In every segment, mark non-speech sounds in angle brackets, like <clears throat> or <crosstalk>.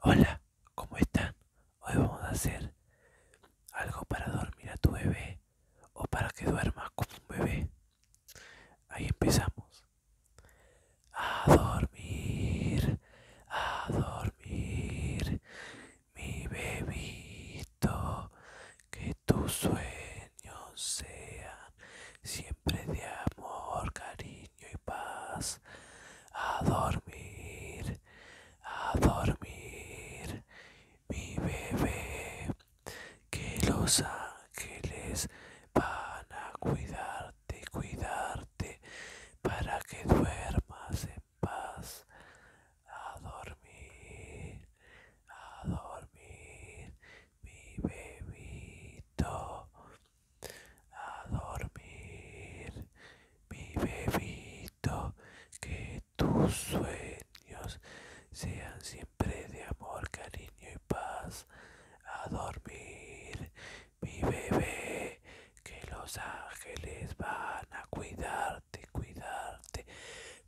Hola, ¿cómo están? Hoy vamos a hacer algo para dormir a tu bebé o para que duermas como un bebé. Ahí empezamos. A dormir, a dormir, mi bebito, que tus sueños sean siempre de amor, cariño y paz. A dormir, a dormir, mi bebé, que los ángeles van a cuidarte, cuidarte, para que duermas en paz. A dormir, a dormir, mi bebito a dormir, mi bebito, que tus sueños sean siempre de amor, cariño y paz. A dormir, mi bebé, que los ángeles van a cuidarte, cuidarte,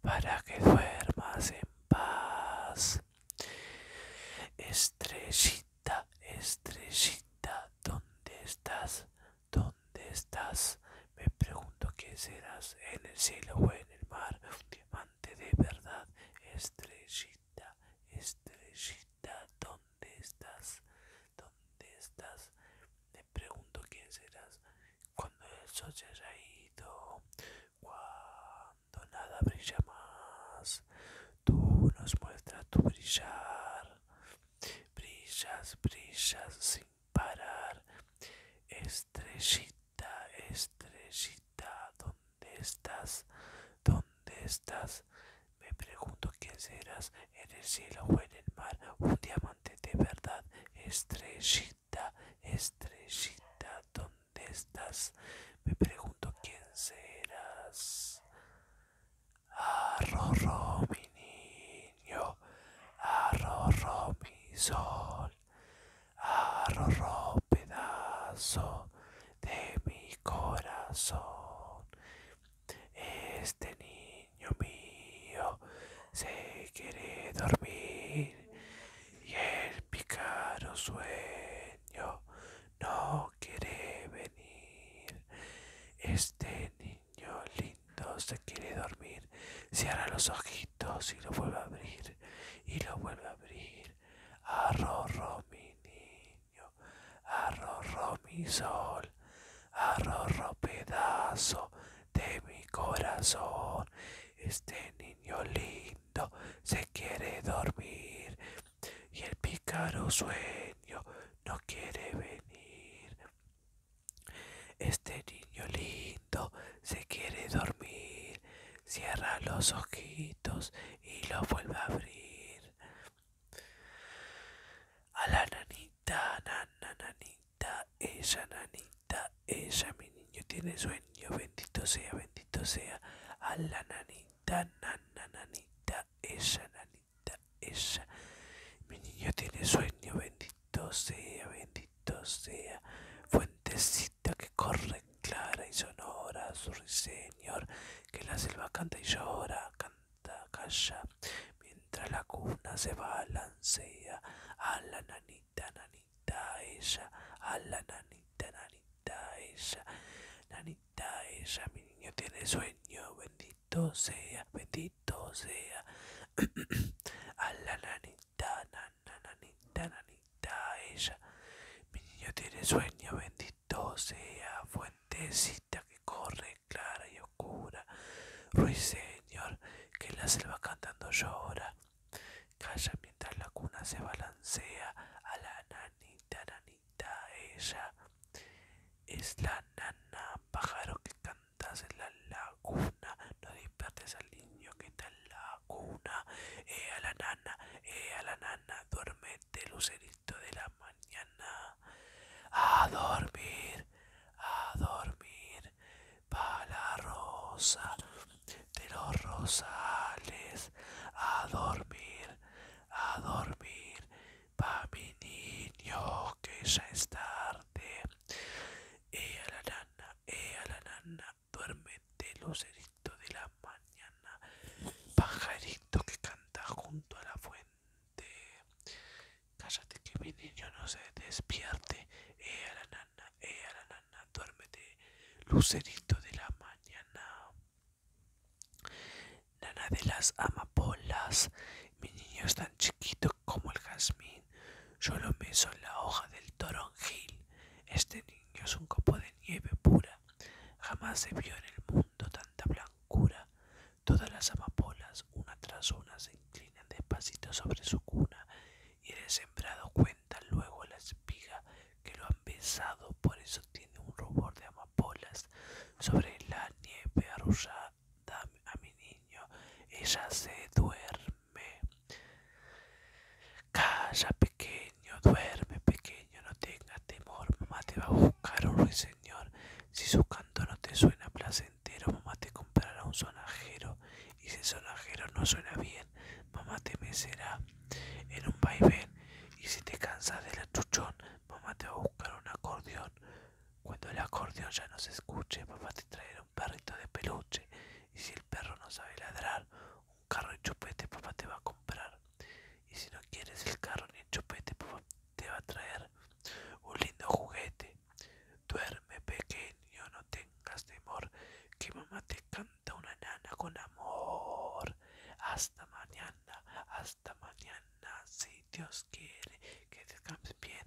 para que duermas en paz. Estrellita Estrellita, estrellita, ¿dónde estás? ¿Dónde estás? Me pregunto qué serás en el cielo o en el mar. Un diamante de verdad. Estrellita, estrellita, ¿dónde estás? ¿Dónde estás? Me pregunto quién serás cuando el sol se haya ido, cuando nada brilla más tú nos muestras tu brillar. Brillas, brillas sin parar. Estrellita, estrellita, ¿dónde estás? ¿Dónde estás? Me pregunto quién serás, en el cielo o en el mar, un diamante de verdad. Estrellita, estrellita, ¿dónde estás? Me pregunto quién serás arro mi niño, ro mi sol, ro pedazo de mi corazón. Este niño mío se quiere dormir y el picaro sueño no quiere venir. Este niño lindo se quiere dormir. Cierra los ojitos y lo vuelve a abrir. Y lo vuelve a abrir. arroro mi niño. Arrorro mi sol. Arrorro pedazo de mi corazón. Este niño lindo se quiere dormir y el pícaro sueño no quiere venir. Este niño lindo se quiere dormir, cierra los ojitos y lo vuelve a abrir. A la nanita, nananita, ella nanita, ella mi niño tiene sueño, bendito sea, bendito sea. A la nanita, nanita ella, esa, nanita esa. Mi niño tiene sueño, bendito sea, bendito sea. Fuentecita que corre clara y sonora, su señor, que la selva canta y llora, canta, calla, mientras la cuna se balancea. A la nanita, nanita, ella, a la nanita, nanita nanita, ella, mi niño tiene sueño, bendito sea, bendito sea. <clears throat> A la nanita, nanita, nanita, ella, mi niño tiene sueño, bendito sea, fuentecita que corre clara y oscura. Ruiseñor, que en la selva cantando llora. Calla mientras la cuna se balancea a la nanita, nanita, ella. Es la nana, pájaro que cantas en la laguna. No despiertes al niño que está en la cuna. Eh a la nana, eh a la nana, duérmete, lucerito de la mañana. A dormir, a dormir, pa' la rosa de los rosales. A dormir, a dormir. Va mi niño, que ya es tarde. e a la nana, e a la nana, duérmete, lucerito de la mañana. Pajarito que canta junto a la fuente. Cállate que mi niño no se despierte. e a la nana, ea a la nana, duérmete, lucerito de la mañana. Nana de las amapolas, mi niño es tan chiquito como el jazmín. Yo lo mezo en la hoja del toronjil. Este niño es un copo de nieve pura. Jamás se vio en el mundo tanta blancura. Todas las amapolas, una tras una, se inclinan despacito sobre su cuna y el sembrado cuenta luego la espiga que lo han besado, por eso tiene un rubor de amapolas sobre la nieve arrullada a mi niño. Ella se duerme. Calla, pequeño, duerme, pequeño, no tenga temor, mamá te va a buscar un ruiseñor. Si su canto no te suena placentero, mamá te comprará un sonajero. Y si el sonajero no suena bien, mamá te mecerá en un vaivén. Y si te cansas del achuchón, Mamá te va a buscar un acordeón. Cuando el acordeón ya no se escuche, papá te traerá un perrito de peluche. Y si el perro no sabe ladrar, un carro y chupete papá te va a comprar. Y si no quieres el carro ni el chupete, papá te va a traer un lindo juguete. Duerme pequeño, no tengas temor, que mamá te canta una nana con amor. Hasta mañana. Hasta mañana, si Dios quiere. Que descanse bien,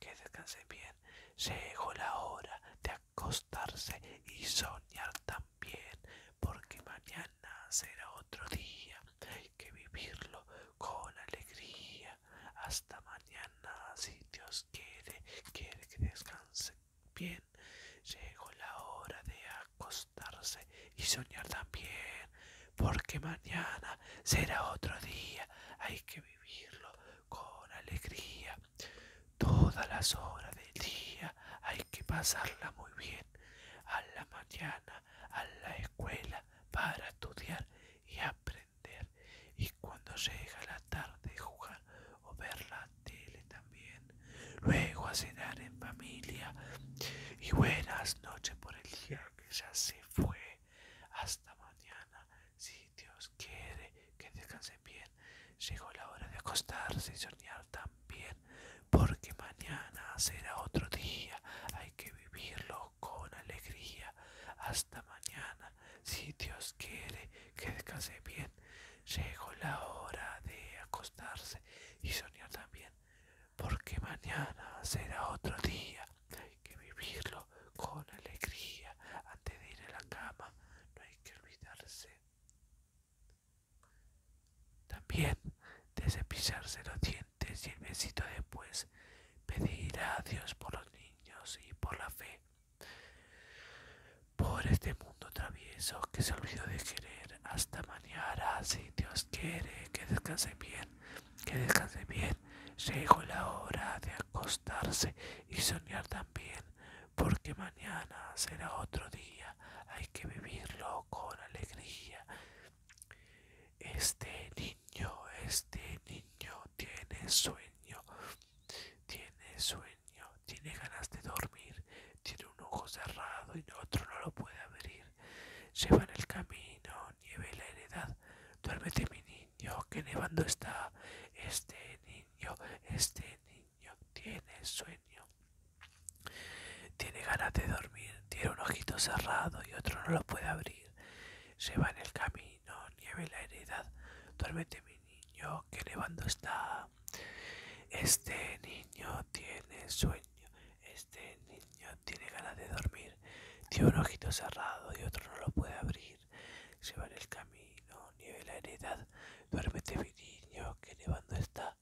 que descanse bien. Llegó la hora de acostarse y soñar también, porque mañana será otro día. Hay que vivirlo con alegría. Hasta mañana, si Dios quiere, quiere que descanse bien. Llegó la hora de acostarse y soñar también, porque mañana será otro día, hay que vivirlo con alegría. Todas las horas del día hay que pasarla muy bien, a la mañana, a la escuela, para estudiar y aprender. Y cuando llega la tarde, jugar o ver la tele también. Luego a cenar en familia. Y buenas noches por el día que ya se fue. Hasta mañana, si Dios quiere que descanse bien. Llegó la hora de acostarse y soñar también, porque mañana será otro día. Hay que vivirlo con alegría. Hasta mañana, si Dios quiere que descanse bien. Llegó la hora de acostarse y soñar también porque mañana será otro día. Hay que vivirlo con alegría antes de ir a la cama. No hay que olvidarse también de cepillarse los dientes y el besito después. Pedir a Dios por los niños y por la fe. Por este travieso que se olvidó de querer. Hasta mañana, si Dios quiere, que descanse bien, que descanse bien. Llegó la hora de acostarse y soñar también, porque mañana será otro día. Hay que vivirlo con alegría. Este niño, este niño tiene sueño, tiene sueño, tiene ganas de dormir tiene un ojo cerrado y otro no lo puede abrir. Lleva en el camino, nieve la heredad. Duérmete mi niño, que nevando está. Este niño, este niño tiene sueño. Tiene ganas de dormir, tiene un ojito cerrado y otro no lo puede abrir. se va en el camino, nieve la heredad. Duérmete mi niño, que nevando está. Este niño tiene sueño, este niño tiene ganas de dormir. Tiene un ojito cerrado y otro no lo puede abrir. Lleva el camino, nieve la heredad. Duérmete mi niño, que nevando está.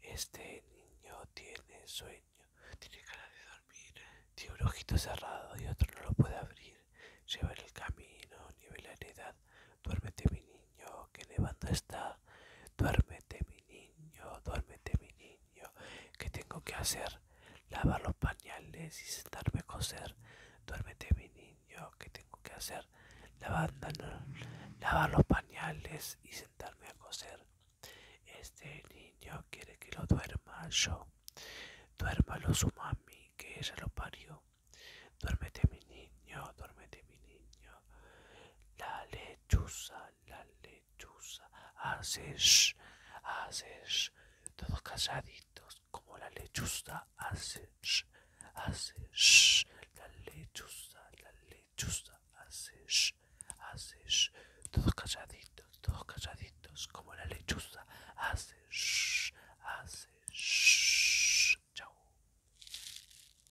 Este niño tiene sueño, tiene ganas de dormir. Tiene un ojito cerrado y otro no lo puede abrir. Lleva el camino, nieve la heredad. Duérmete mi niño, que nevando está. Duérmete mi niño, duérmete mi niño. que tengo que hacer? Lavar los pañales y sentarme a coser. Duérmete mi niño, que tengo que hacer? Lavar, los pañales y sentarme a coser. Este niño quiere que lo duerma yo. Duérmalo su mami, que ella lo parió. Duérmete mi niño, duérmete mi niño. La lechuza, la lechuza, hace sh, hace todos calladitos, como la lechuza, hace sh, la lechuza, la lechuza, hace sh, todos calladitos, todos calladitos, como la lechuza, hace sh, Chao.